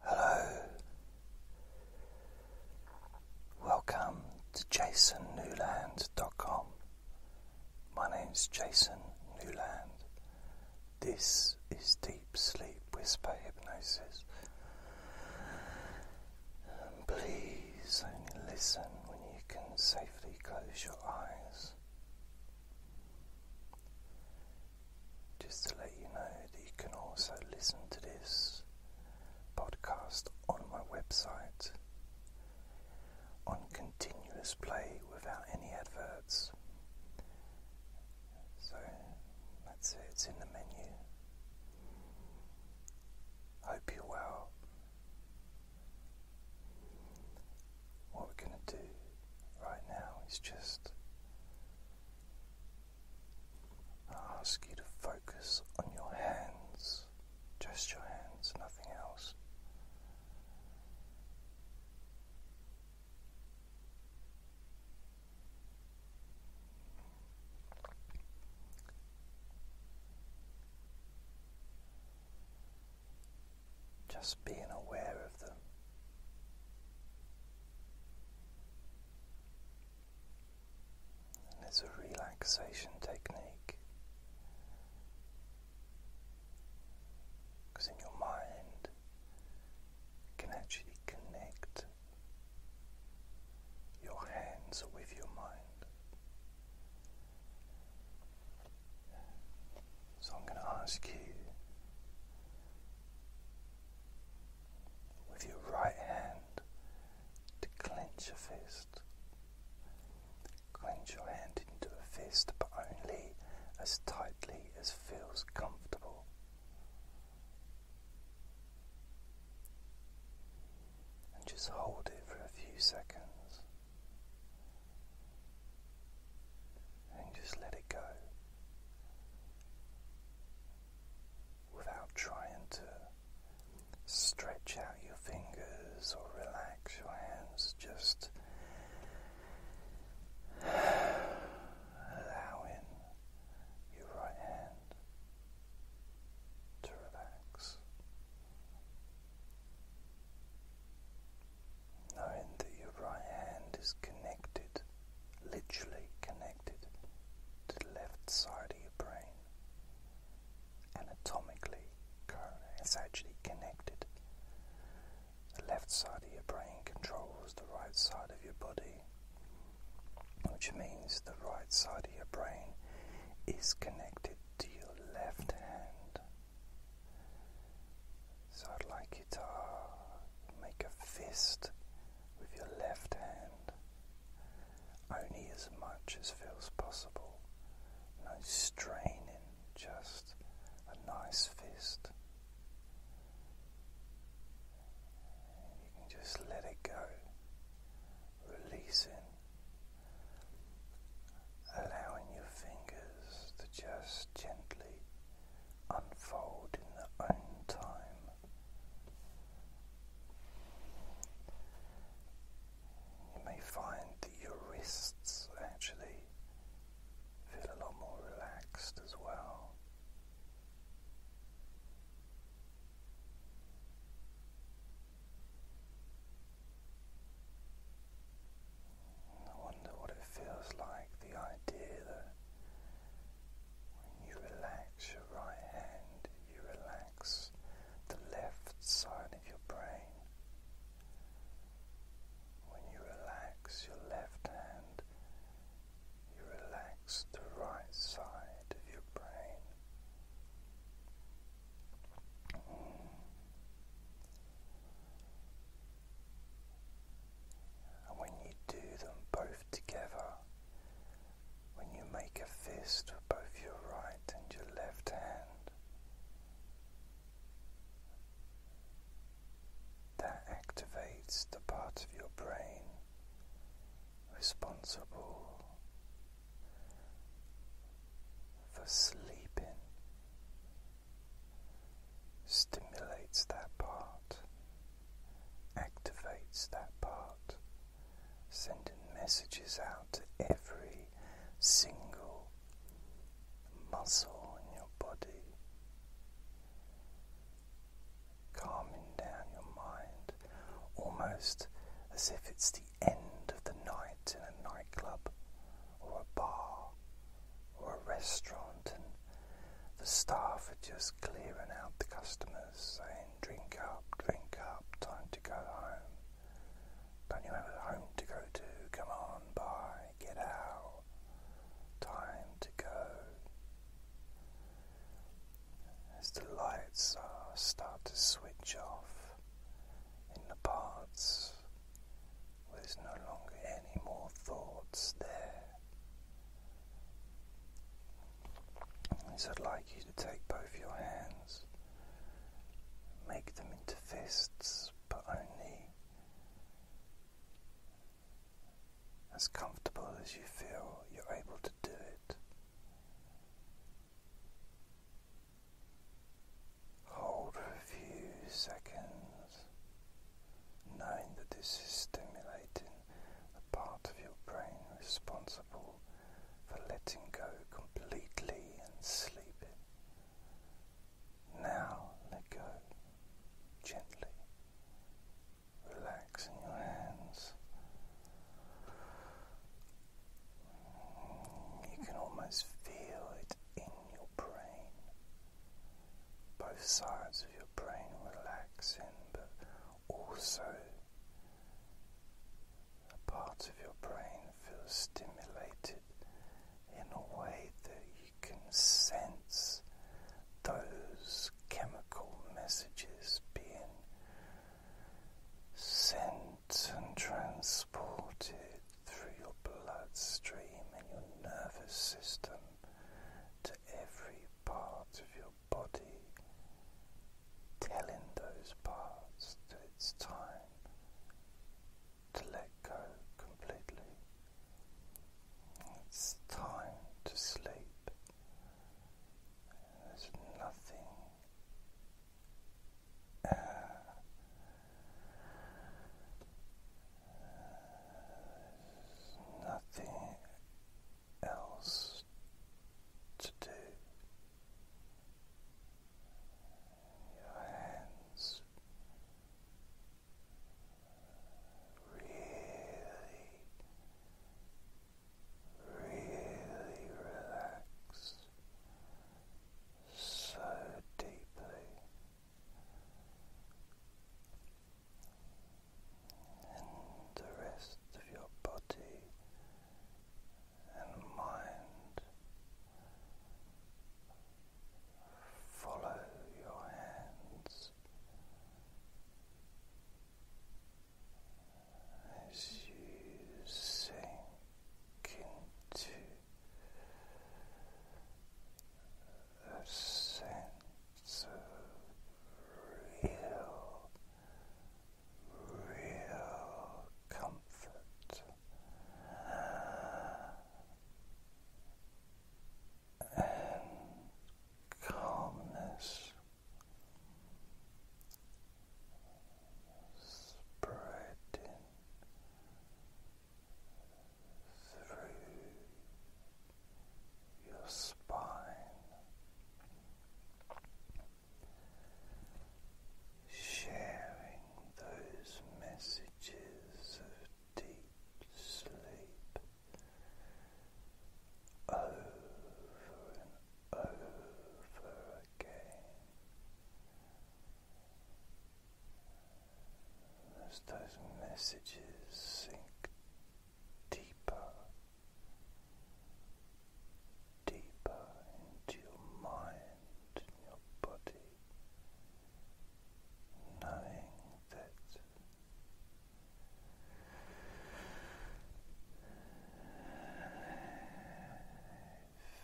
Hello, welcome to jasonnewland.com. My name is Jason Newland. This is Deep Sleep Whisper Hypnosis. And please only listen when you can safely close your eyes. Just to let you know that you can also listen to this podcast on my website on continuous play without any adverts. So let's it, it's in the menu. Hope you're well. What we're going to do right now is just I ask you to focus on your hands, just your hands, nothing else. Just being aware of them. And it's a relaxation technique because in your mind can actually connect your hands with your mind. So I'm going to ask you with your right hand to clench your fist. Clench your hand into a fist, but only as tightly as feels comfortable. And just hold it for a few seconds and just let it go without trying to stretch out your fingers or relax your hands, just allowing your right hand to relax knowing that your right hand is connected, literally connected, to the left side of your brain. Anatomically, it's actually connected. The left side of your brain controls the right side of your body, which means the right side of your brain is connected to your left hand. So I'd like you to make a fist with your left hand only as much as feels possible. No straining, just a nice fist. You can just let it go, releasing, allowing your fingers to just gently unfold in their own time. You may find that your wrists actually feel a lot more relaxed as well. I wonder what it feels like the idea that when you relax your right hand, you relax the left side of your brain. When you relax your left hand, you relax the right side of your brain when you do them both together, when you make a fist with both your right and your left hand, that activates the part of your brain responsible for sleeping stimulates that part, activates that part, sending messages out to every single muscle in your body, calming down your mind, almost as if it's the end of the night in a nightclub or a bar or a restaurant, and the staff are just clearing out the customers, saying, Drink up, drink up, time to go home. Don't you have a home to go to? Come on, bye, get out, time to go. As the lights start to switch off in the parts there's no longer any more thoughts there. So I'd like you to take both your hands, make them into fists, but only as comfortable as you feel you're able to do it. Hold for a few seconds, knowing that this is stimulating the part of your brain responsible for letting go completely and sleeping. Now let go gently, relaxing your hands. You can almost feel it in your brain, both sides of your brain relaxing, but also a part of your brain feels stimulated in a way that you can sense those chemical messages being sent and transported through your bloodstream and your nervous system to every part of your body, telling those parts that it's time to let go completely. It's time to sleep. There's nothing. Uh, nothing else to do. Your hands really, really relax so deeply and the rest of your body and mind. Follow your hands as you sink into a sense of real, real comfort. And calmness spreading through your spine. Sharing those messages of deep sleep over and over again as those messages sink deeper, deeper into your mind and your body, knowing that.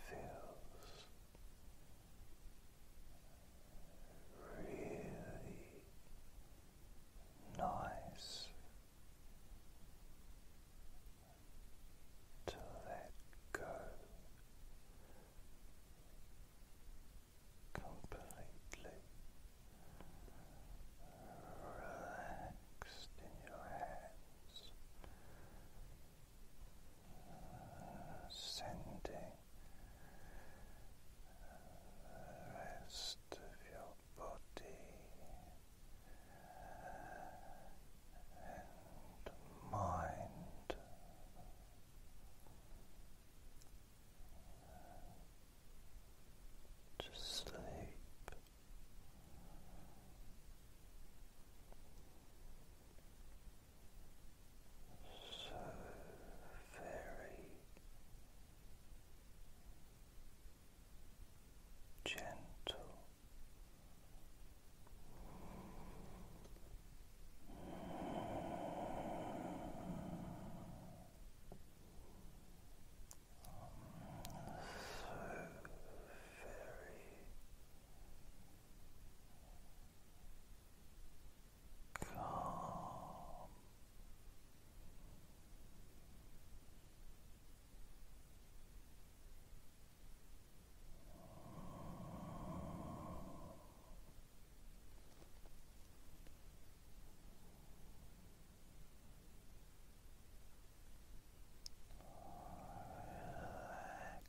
Feels really nice to let go completely relaxed in your hands sending the rest of your body and mind to sleep so very gentle. So very calm. Relax.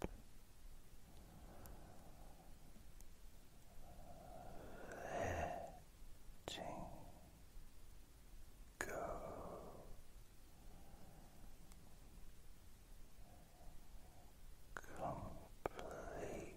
letting go. Completely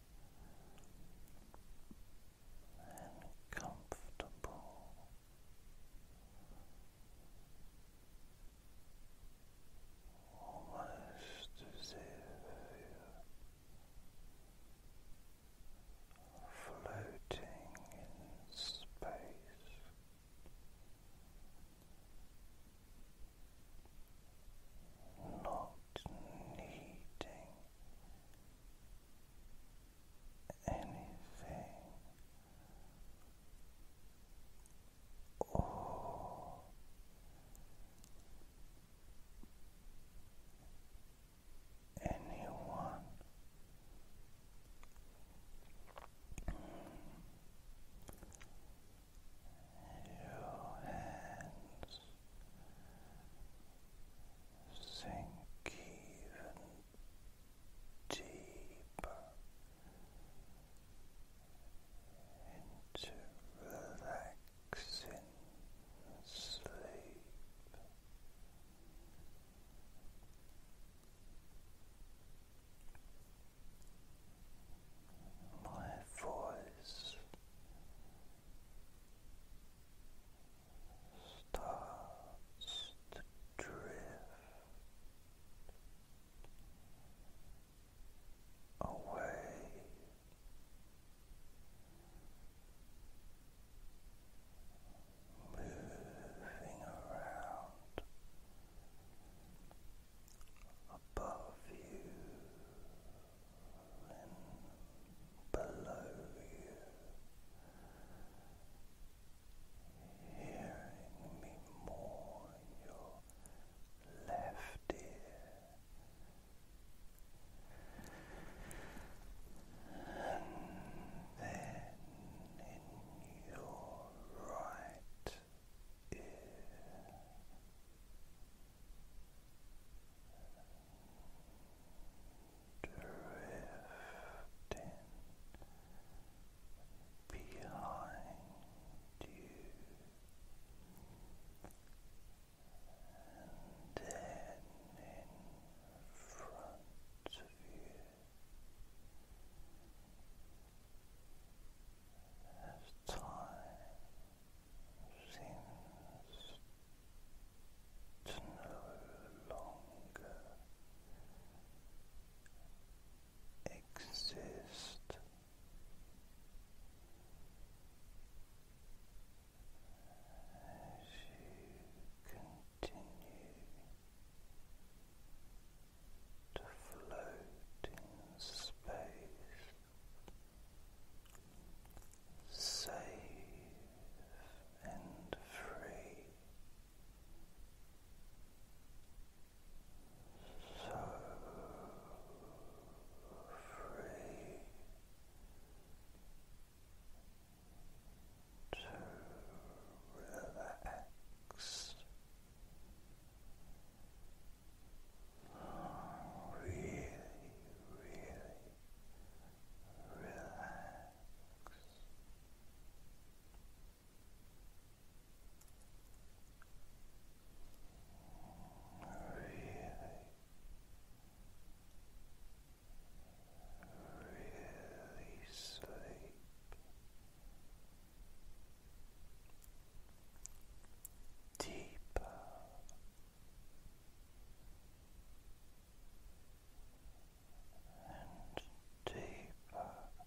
and comfortable. Almost as if you're floating in space, not needing anything or anyone your hands sink even deeper into relaxing sleep my voice starts to drift away. Moving around above you below you, hearing me more in your left ear, and then in your right ear. Drifting behind you, and in front of you as time seems to no longer exist. As you continue to float in space, safe and free. So free to relax really, really relax. Really, really sleep deeper. And deeper, sleepier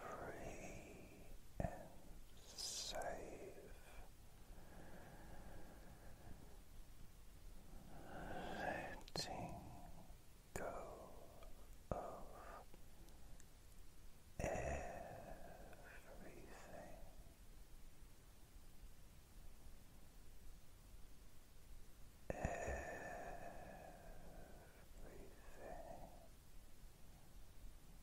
free and safe. Letting go of everything. Everything.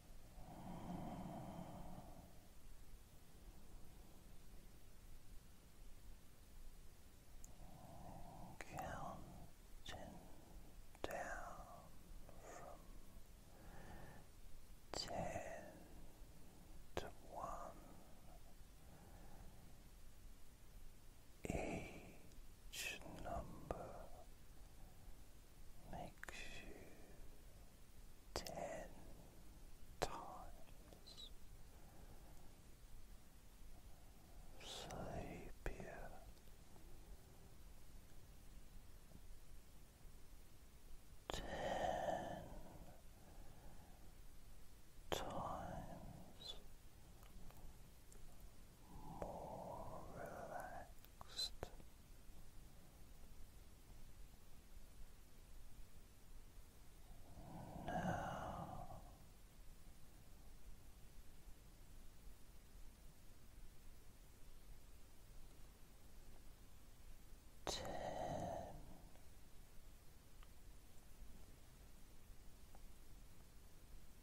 Counting down from ten to one. Each each number makes you ten times sleepier. Ten times more relaxed. Now ten